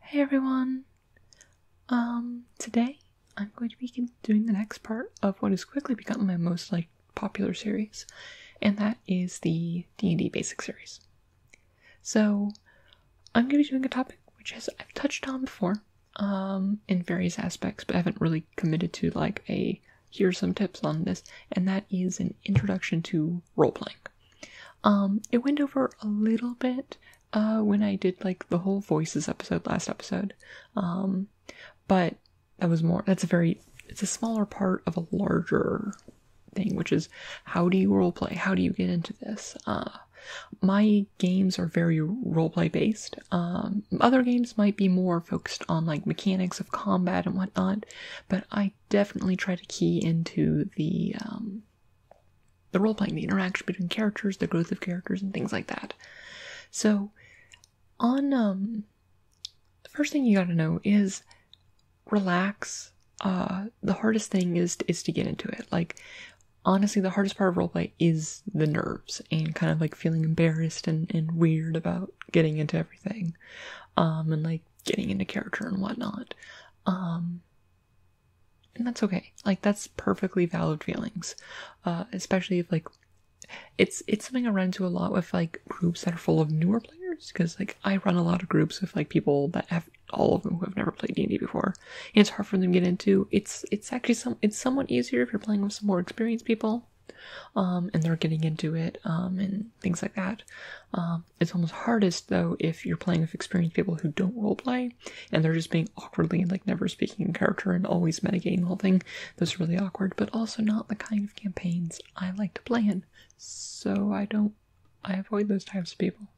Hey everyone! Um, today I'm going to be doing the next part of what has quickly become my most like popular series, and that is the D&D Basic series. So, I'm going to be doing a topic which has I've touched on before, um, in various aspects, but I haven't really committed to like a here's some tips on this, and that is an introduction to role playing. Um, it went over a little bit uh, when I did like the whole voices episode last episode, um, but that was more. That's a very it's a smaller part of a larger thing, which is how do you role play? How do you get into this? Uh, my games are very roleplay based. Um, other games might be more focused on like mechanics of combat and whatnot, but I definitely try to key into the um, the role playing, the interaction between characters, the growth of characters, and things like that. So, on um, first thing you got to know is relax. Uh, the hardest thing is is to get into it. Like, honestly, the hardest part of role play is the nerves and kind of like feeling embarrassed and and weird about getting into everything, um, and like getting into character and whatnot. Um, and that's okay like that's perfectly valid feelings uh especially if like it's it's something i run into a lot with like groups that are full of newer players because like i run a lot of groups with like people that have all of them who have never played d&d before and it's hard for them to get into it's it's actually some it's somewhat easier if you're playing with some more experienced people um and they're getting into it um and things like that um it's almost hardest though if you're playing with experienced people who don't roleplay and they're just being awkwardly like never speaking in character and always mitigating the whole thing. That's really awkward, but also not the kind of campaigns I like to play in. So I don't I avoid those types of people.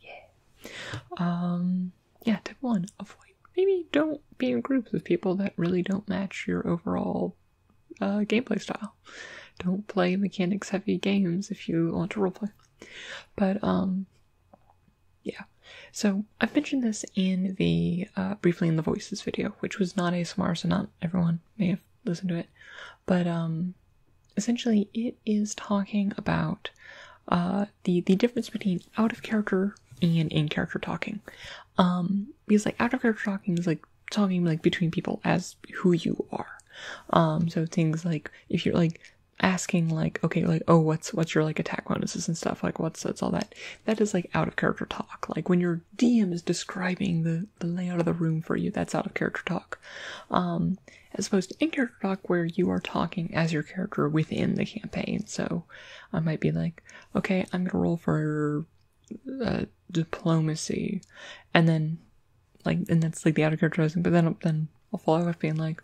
Yeah. Um yeah, tip one, avoid maybe don't be in groups of people that really don't match your overall uh, gameplay style. Don't play mechanics heavy games if you want to roleplay. But, um, yeah. So, I've mentioned this in the, uh, briefly in the voices video, which was not ASMR, so not everyone may have listened to it. But, um, essentially it is talking about, uh, the, the difference between out of character and in character talking. Um, because, like, out of character talking is, like, talking, like, between people as who you are. Um, so things like if you're like asking like okay like oh what's what's your like attack bonuses and stuff like what's that's all that that is like out of character talk like when your dm is describing the, the layout of the room for you that's out of character talk um as opposed to in character talk where you are talking as your character within the campaign so i might be like okay i'm gonna roll for uh, diplomacy and then like and that's like the auto characterizing but then then i'll follow up being like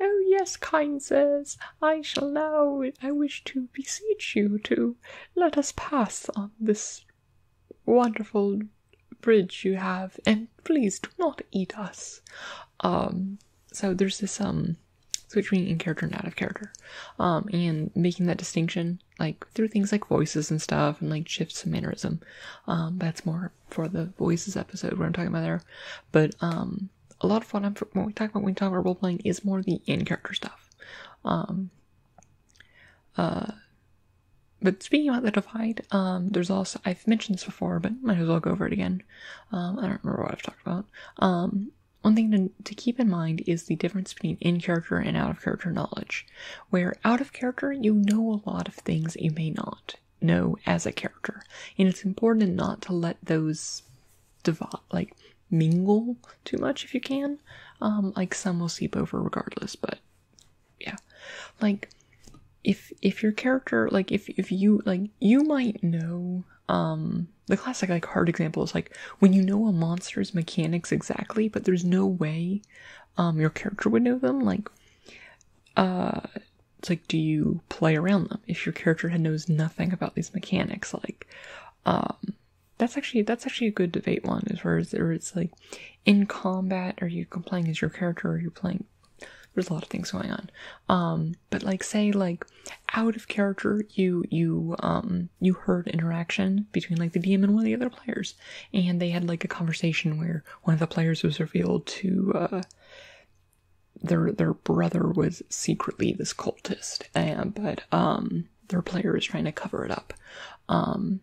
oh yes kind sirs i shall now i wish to beseech you to let us pass on this wonderful bridge you have and please do not eat us um so there's this um switching in character and out of character um and making that distinction like through things like voices and stuff and like shifts in mannerism um that's more for the voices episode what I'm talking about there. But um, a lot of what I'm what we talk about when we talk about role playing is more the in character stuff. Um, uh, but speaking about the divide, um, there's also I've mentioned this before, but might as well go over it again. Um, I don't remember what I've talked about. Um, one thing to keep in mind is the difference between in character and out of character knowledge where out of character you know a lot of things that you may not know as a character. And it's important not to let those divide, like mingle too much if you can. Um, like some will seep over regardless, but yeah. Like if if your character like if if you like you might know um the classic like hard example is like when you know a monster's mechanics exactly but there's no way um your character would know them like uh it's like do you play around them if your character knows nothing about these mechanics like um that's actually that's actually a good debate one as far as it's like in combat are you playing as your character or are you playing there's a lot of things going on um but like say like out of character you you um you heard interaction between like the dm and one of the other players and they had like a conversation where one of the players was revealed to uh, their their brother was secretly this cultist, but um, their player is trying to cover it up. Um,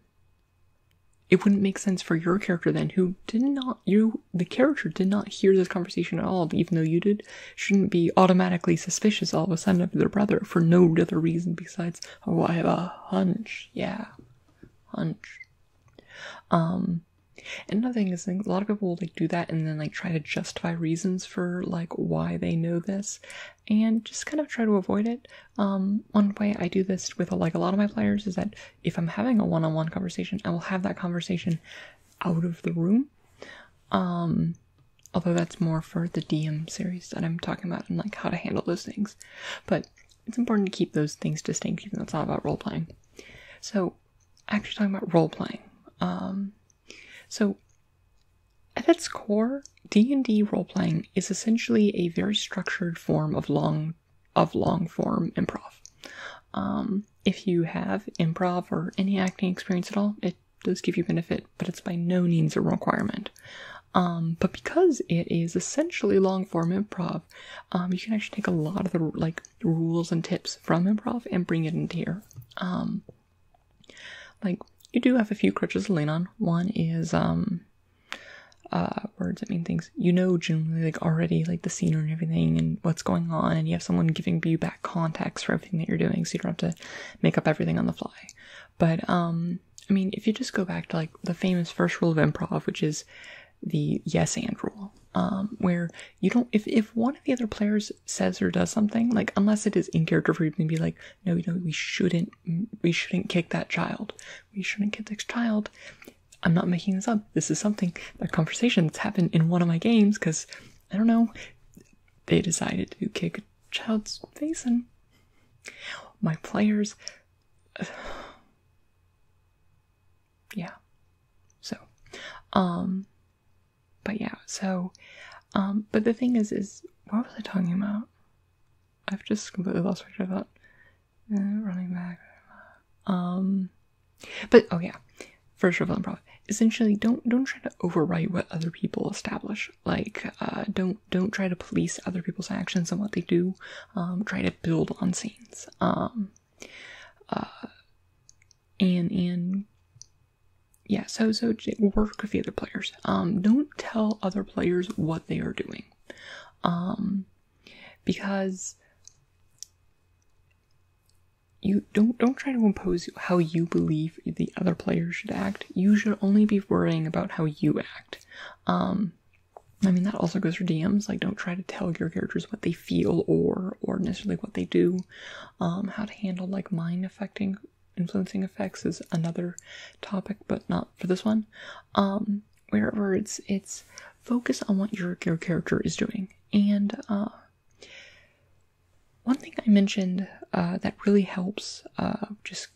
it wouldn't make sense for your character then, who did not you the character did not hear this conversation at all, even though you did, shouldn't be automatically suspicious all of a sudden of their brother for no other reason besides oh I have a hunch, yeah, hunch. Um, and another thing is, a lot of people will like do that and then like try to justify reasons for like why they know this, and just kind of try to avoid it. Um, one way I do this with like a lot of my players is that if I'm having a one-on-one -on -one conversation, I will have that conversation out of the room. Um, although that's more for the DM series that I'm talking about and like how to handle those things, but it's important to keep those things distinct, even though it's not about role playing. So, actually, talking about role playing. Um, so, at its core, D and D role playing is essentially a very structured form of long of long form improv. Um, if you have improv or any acting experience at all, it does give you benefit, but it's by no means a requirement. Um, but because it is essentially long form improv, um, you can actually take a lot of the like rules and tips from improv and bring it into here. Um, like you do have a few crutches to lean on. One is um, uh, words that mean things. You know generally like already like the scene and everything and what's going on, and you have someone giving you back context for everything that you're doing, so you don't have to make up everything on the fly. But I mean, if you just go back to like the famous first rule of improv, which is the yes and rule um where you don't if if one of the other players says or does something like unless it is in character for you to be like no you know we shouldn't we shouldn't kick that child we shouldn't kick this child i'm not making this up this is something that conversations happened in one of my games because i don't know they decided to kick a child's face and my players yeah. So, um, but yeah, so, um, but the thing is, is what was I talking about? I've just completely lost my train of thought. Uh, running back, um, but oh yeah, first of all, improv. Essentially, don't don't try to overwrite what other people establish. Like, uh, don't don't try to police other people's actions and what they do. Um, try to build on scene um uh, and and yeah so so work with the other players um don't tell other players what they are doing um because you don't don't try to impose how you believe the other player should act you should only be worrying about how you act um I mean, that also goes for DMs. Like, don't try to tell your characters what they feel or or necessarily what they do. Um, how to handle like mind affecting influencing effects is another topic, but not for this one. Um, wherever it's it's focus on what your your character is doing. And uh, one thing I mentioned uh, that really helps uh, just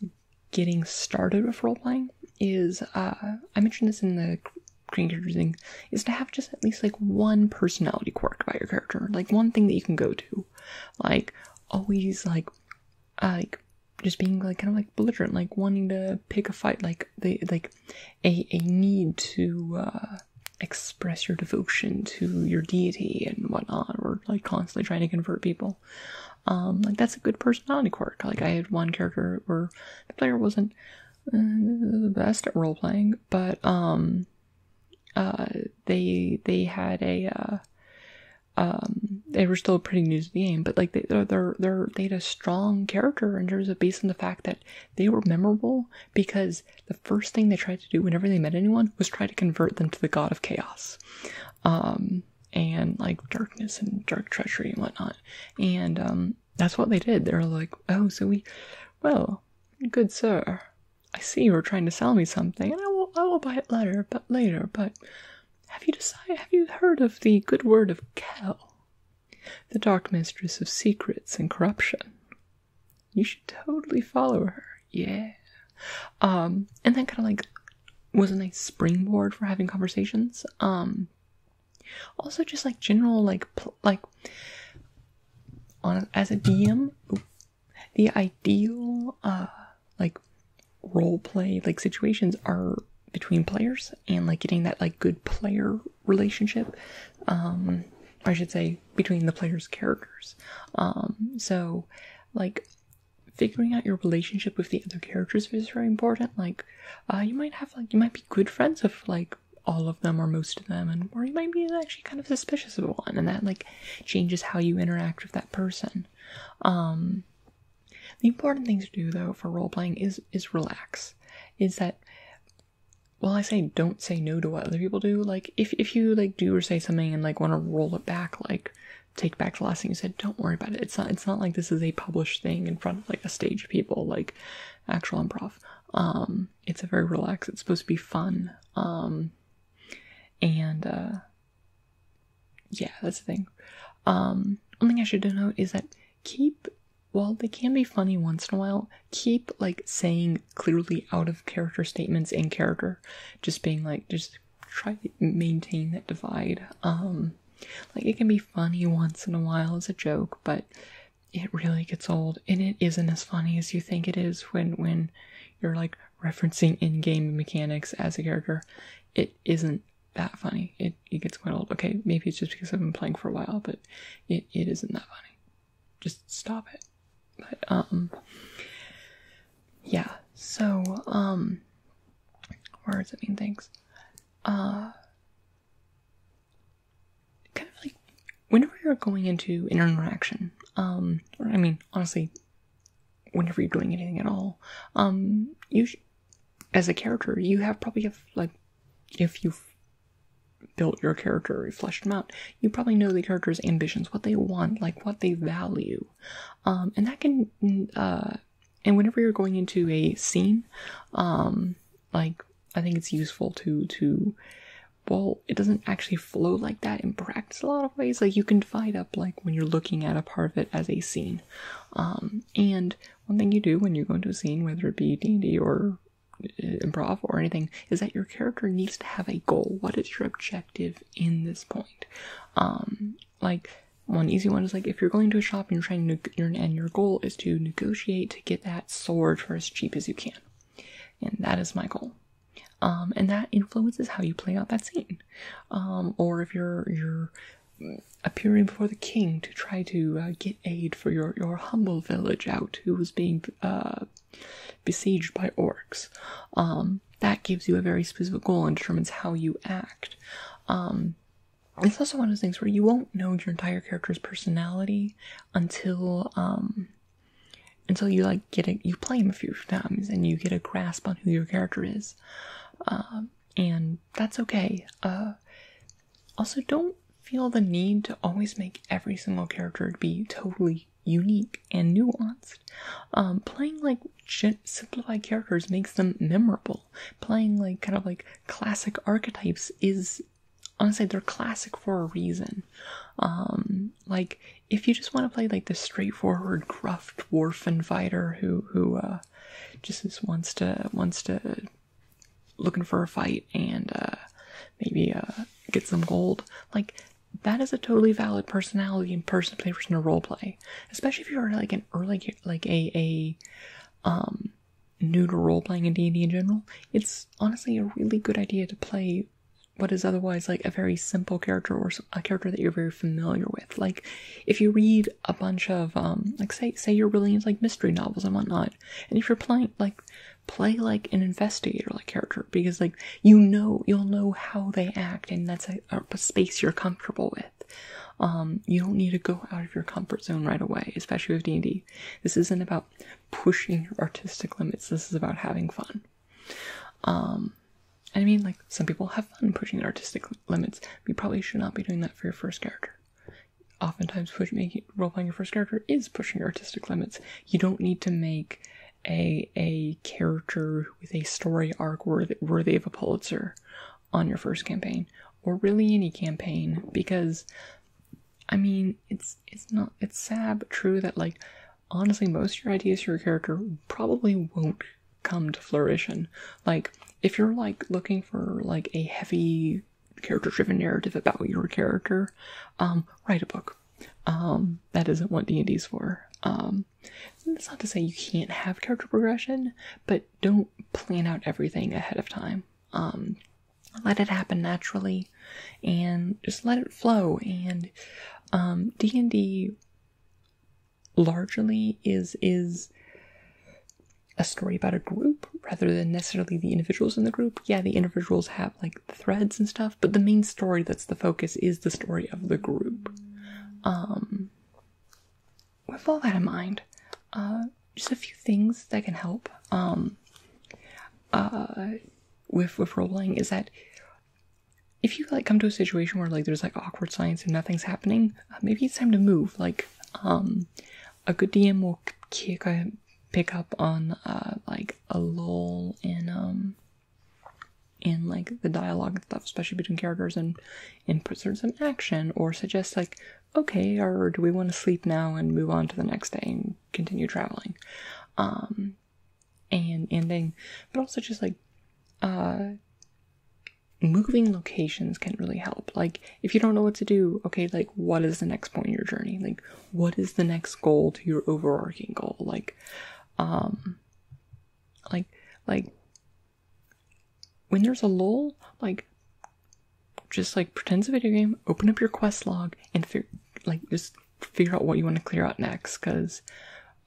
getting started with role playing is uh, I mentioned this in the creating characters is to have just at least like one personality quirk about your character, like one thing that you can go to, like always like, uh, like just being like kind of like belligerent, like wanting to pick a fight, like they like a a need to uh, express your devotion to your deity and whatnot, or like constantly trying to convert people. Um, like that's a good personality quirk. Like I had one character where the player wasn't Mm, the best at role playing, but um, uh, they they had a uh, um, they were still pretty new to the game, but like they they they had a strong character in terms of based on the fact that they were memorable because the first thing they tried to do whenever they met anyone was try to convert them to the god of chaos, um, and like darkness and dark treachery and whatnot, and um, that's what they did. They were like, "Oh, so we, well, good sir, I see you are trying to sell me something, and I will, I will buy it later, but later. But have you decided? Have you heard of the good word of Kel, the dark mistress of secrets and corruption? You should totally follow her. Yeah. Um, and that kind of like was a nice springboard for having conversations. Um." Also, just like general, like like on as a DM, the ideal uh like role play like situations are between players and like getting that like good player relationship. Um, I should say between the players' characters. Um, so like figuring out your relationship with the other characters is very important. Like uh, you might have like you might be good friends with like all of them or most of them, and or you might be actually kind of suspicious of one, and that like changes how you interact with that person. Um, the important thing to do though for role playing is is relax. Is that well I say don't say no to what other people do. Like if if you like do or say something and like want to roll it back, like take back the last thing you said, don't worry about it. It's not it's not like this is a published thing in front of like a stage people. Like actual improv. Um, it's a very relaxed. It's supposed to be fun. Um, and uh, yeah, that's the thing. Um, one thing I should note is that keep well, they can be funny once in a while, keep like saying clearly out of character statements in character, just being like just try to maintain that divide. Um, like it can be funny once in a while as a joke, but it really gets old and it isn't as funny as you think it is when when you're like referencing in-game mechanics as a character it isn't that funny it, it gets quite old okay maybe it's just because i've been playing for a while but it, it isn't that funny just stop it but um yeah so um words that mean things uh kind of like whenever you're going into interaction, um, or I mean, honestly, whenever you're doing anything at all, um, you as a character, you have probably have like if you've built your character, you fleshed them out, you probably know the character's ambitions, what they want, like what they value, um, and that can, uh, and whenever you're going into a scene, um, like I think it's useful to to well, it doesn't actually flow like that in practice a lot of ways. Like you can divide up like when you're looking at a part of it as a scene. Um, and one thing you do when you go into a scene, whether it be D and D or uh, improv or anything, is that your character needs to have a goal. What is your objective in this point? Um, like one easy one is like if you're going to a shop and you're trying to and your goal is to negotiate to get that sword for as cheap as you can. And that is my goal. Um, and that influences how you play out that scene. Um, or if you're you're appearing before the king to try to uh, get aid for your, your humble village out who was being uh, besieged by orcs. Um, that gives you a very specific goal and determines how you act it's also one of those things where you won't know your entire character's personality until um, until you like get it you play him a few times and you get a grasp on who your character is um, and that's okay uh, also don't feel the need to always make every single character be totally unique and nuanced um, playing like simplified characters makes them memorable playing like kind of like classic archetypes is honestly they're classic for a reason um, like if you just want to play like the straightforward gruff dwarf fighter who who uh, just wants to wants to looking for a fight and uh, maybe uh, get some gold like that is a totally valid personality and person play person to role play especially if you're like an early like a a um new to role playing and D&D in general, it's honestly a really good idea to play what is otherwise like a very simple character or a character that you're very familiar with. Like if you read a bunch of um, like say say you're really into like mystery novels and whatnot, and if you're playing like play like an investigator like character because like you know you'll know how they act and that's a, a space you're comfortable with. Um, you don't need to go out of your comfort zone right away, especially with D&D. This isn't about pushing your artistic limits. This is about having fun. Um, I mean, like, some people have fun pushing artistic limits. You probably should not be doing that for your first character. Oftentimes, push, role playing your first character is pushing your artistic limits. You don't need to make a a character with a story arc worthy, worthy of a Pulitzer on your first campaign, or really any campaign, because I mean, it's it's not it's sad but true that like honestly most of your ideas for your character probably won't come to fruition. Like if you're like looking for like a heavy character driven narrative about your character, um, write a book. Um, that isn't what D&D's for. Um, that's not to say you can't have character progression, but don't plan out everything ahead of time. Um, let it happen naturally and just let it flow and D&D um, largely is is a story about a group rather than necessarily the individuals in the group. Yeah, the individuals have like threads and stuff, but the main story that's the focus is the story of the group. Um, with all that in mind, uh, just a few things that can help um, uh, with with role playing is that if you like come to a situation where like there's like awkward silence and nothing's happening, uh, maybe it's time to move. Like um, a good DM will kick a, pick up on uh, like a lull in um in like the dialogue and stuff, especially between characters, and and put some action or suggest like okay, or do we want to sleep now and move on to the next day? continue traveling um and ending but also just like uh moving locations can really help like if you don't know what to do okay like what is the next point in your journey like what is the next goal to your overarching goal like um like like when there's a lull like just like pretend it's a video game, open up your quest log, and figure like just figure out what you want to clear out next. Because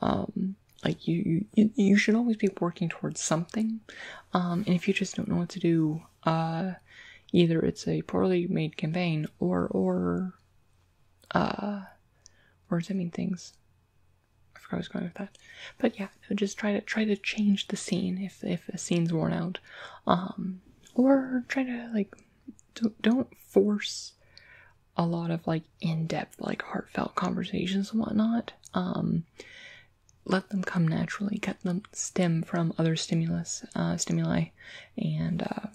um, like you, you you should always be working towards something. Um, and if you just don't know what to do, uh, either it's a poorly made campaign or or uh, or does that mean things? I forgot I was going with that. But yeah, just try to try to change the scene if if a scene's worn out. Um, or try to like don't, force a lot of like in-depth like heartfelt conversations and whatnot um let them come naturally cut them stem from other stimulus uh, stimuli and uh,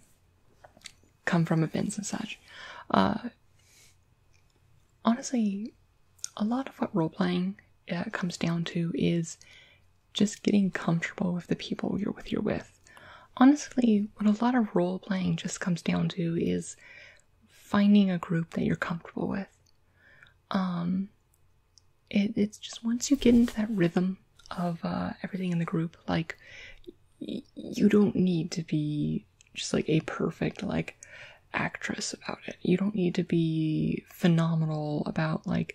come from events and such uh, honestly a lot of what role-playing uh, comes down to is just getting comfortable with the people you're with you're with. Honestly, what a lot of role playing just comes down to is finding a group that you're comfortable with. Um, it's just once you get into that rhythm of uh, everything in the group, like you don't need to be just like a perfect like actress about it. You don't need to be phenomenal about like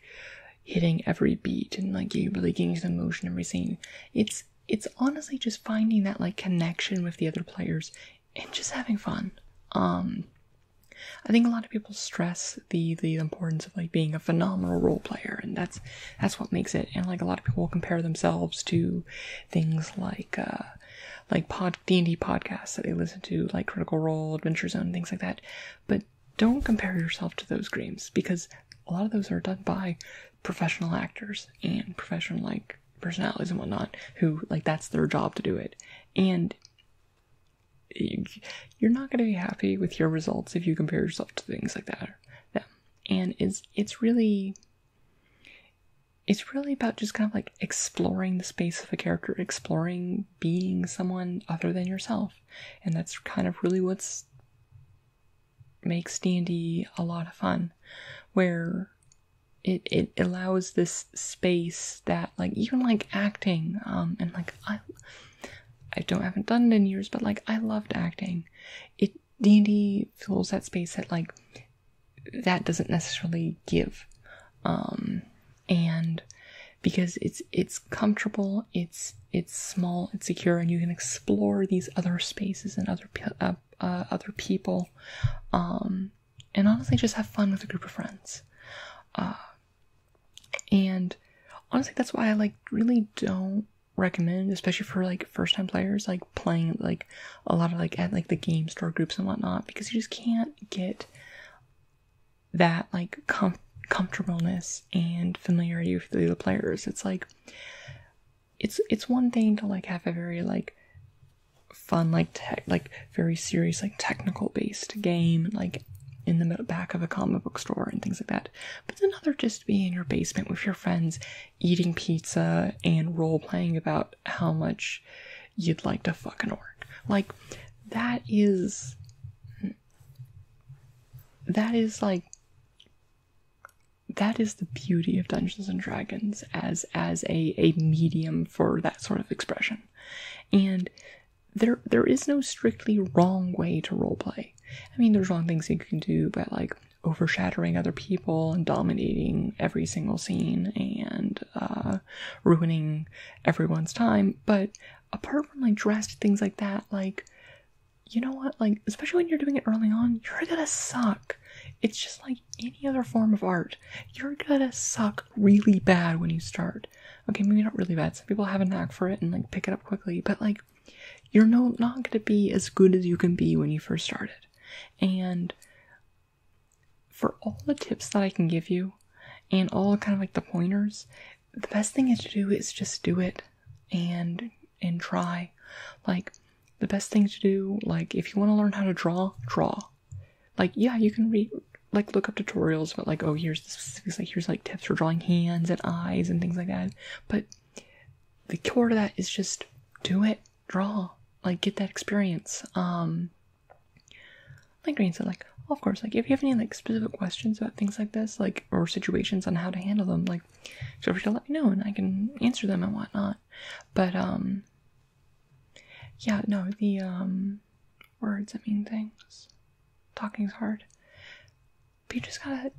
hitting every beat and like you really getting the emotion every scene. It's it's honestly just finding that like connection with the other players and just having fun. Um I think a lot of people stress the the importance of like being a phenomenal role player and that's that's what makes it and like a lot of people compare themselves to things like uh like pod D&D podcasts that they listen to like Critical Role, Adventure Zone, things like that. But don't compare yourself to those dreams because a lot of those are done by professional actors and professional like personalities and whatnot who like that's their job to do it and you're not going to be happy with your results if you compare yourself to things like that yeah. and it's it's really it's really about just kind of like exploring the space of a character exploring being someone other than yourself and that's kind of really what's makes D&D a lot of fun where it, it allows this space that like even like acting um and like I I don't haven't done it in years but like I loved acting it D&D fills that space that like that doesn't necessarily give um and because it's it's comfortable, it's it's small, it's secure, and you can explore these other spaces and other uh, uh, other people, um, and honestly, just have fun with a group of friends. Uh, and honestly, that's why I like really don't recommend, especially for like first time players, like playing like a lot of like at like the game store groups and whatnot, because you just can't get that like comfortableness and familiarity with the players. It's like it's it's one thing to like have a very like fun like tech like very serious like technical based game like in the back of a comic book store and things like that. But another just be in your basement with your friends eating pizza and role playing about how much you'd like to fucking work. Like that is hmm, that is like that is the beauty of Dungeons and Dragons as as a a medium for that sort of expression. And there there is no strictly wrong way to role play. I mean there's wrong things you can do but like overshadowing other people and dominating every single scene and uh, ruining everyone's time, but apart from like dressed things like that, like you know what? Like, especially when you're doing it early on, you're gonna suck. It's just like any other form of art. You're gonna suck really bad when you start. Okay, maybe not really bad. Some people have a knack for it and like pick it up quickly, but like you're not gonna be as good as you can be when you first started. And for all the tips that I can give you and all kind of like the pointers, the best thing is to do is just do it and and try like the best thing to do like if you want to learn how to draw draw like yeah you can read like look up tutorials but like oh here's the specifics like here's like tips for drawing hands and eyes and things like that but the core to that is just do it draw like get that experience um like green said like of course like if you have any like specific questions about things like this like or situations on how to handle them like feel free to let me know and i can answer them and whatnot but um yeah no the um words that mean things talking is hard but you just gotta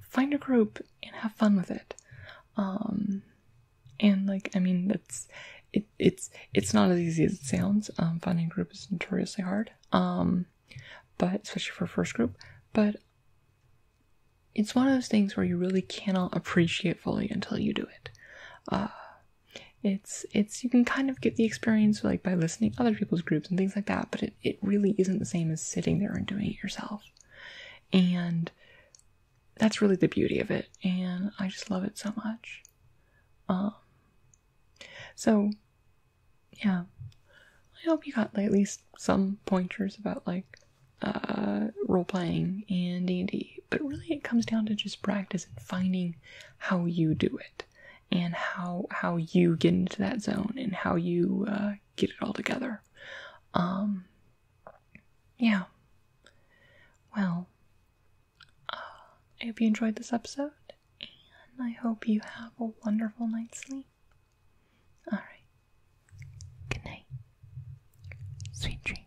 find a group and have fun with it um and like i mean that's it it's it's not as easy as it sounds um finding a group is notoriously hard um but especially for first group, but it's one of those things where you really cannot appreciate fully until you do it. Uh, it's it's you can kind of get the experience like by listening other people's groups and things like that, but it, it really isn't the same as sitting there and doing it yourself. And that's really the beauty of it, and I just love it so much. Um, so yeah, I hope you got at least some pointers about like uh, role playing and D and D. But really, it comes down to just practice and finding how you do it and how how you get into that zone and how you uh, get it all together. Um, yeah. Well, uh, I hope you enjoyed this episode, and I hope you have a wonderful night's sleep. Alright. Good night. Sweet dreams.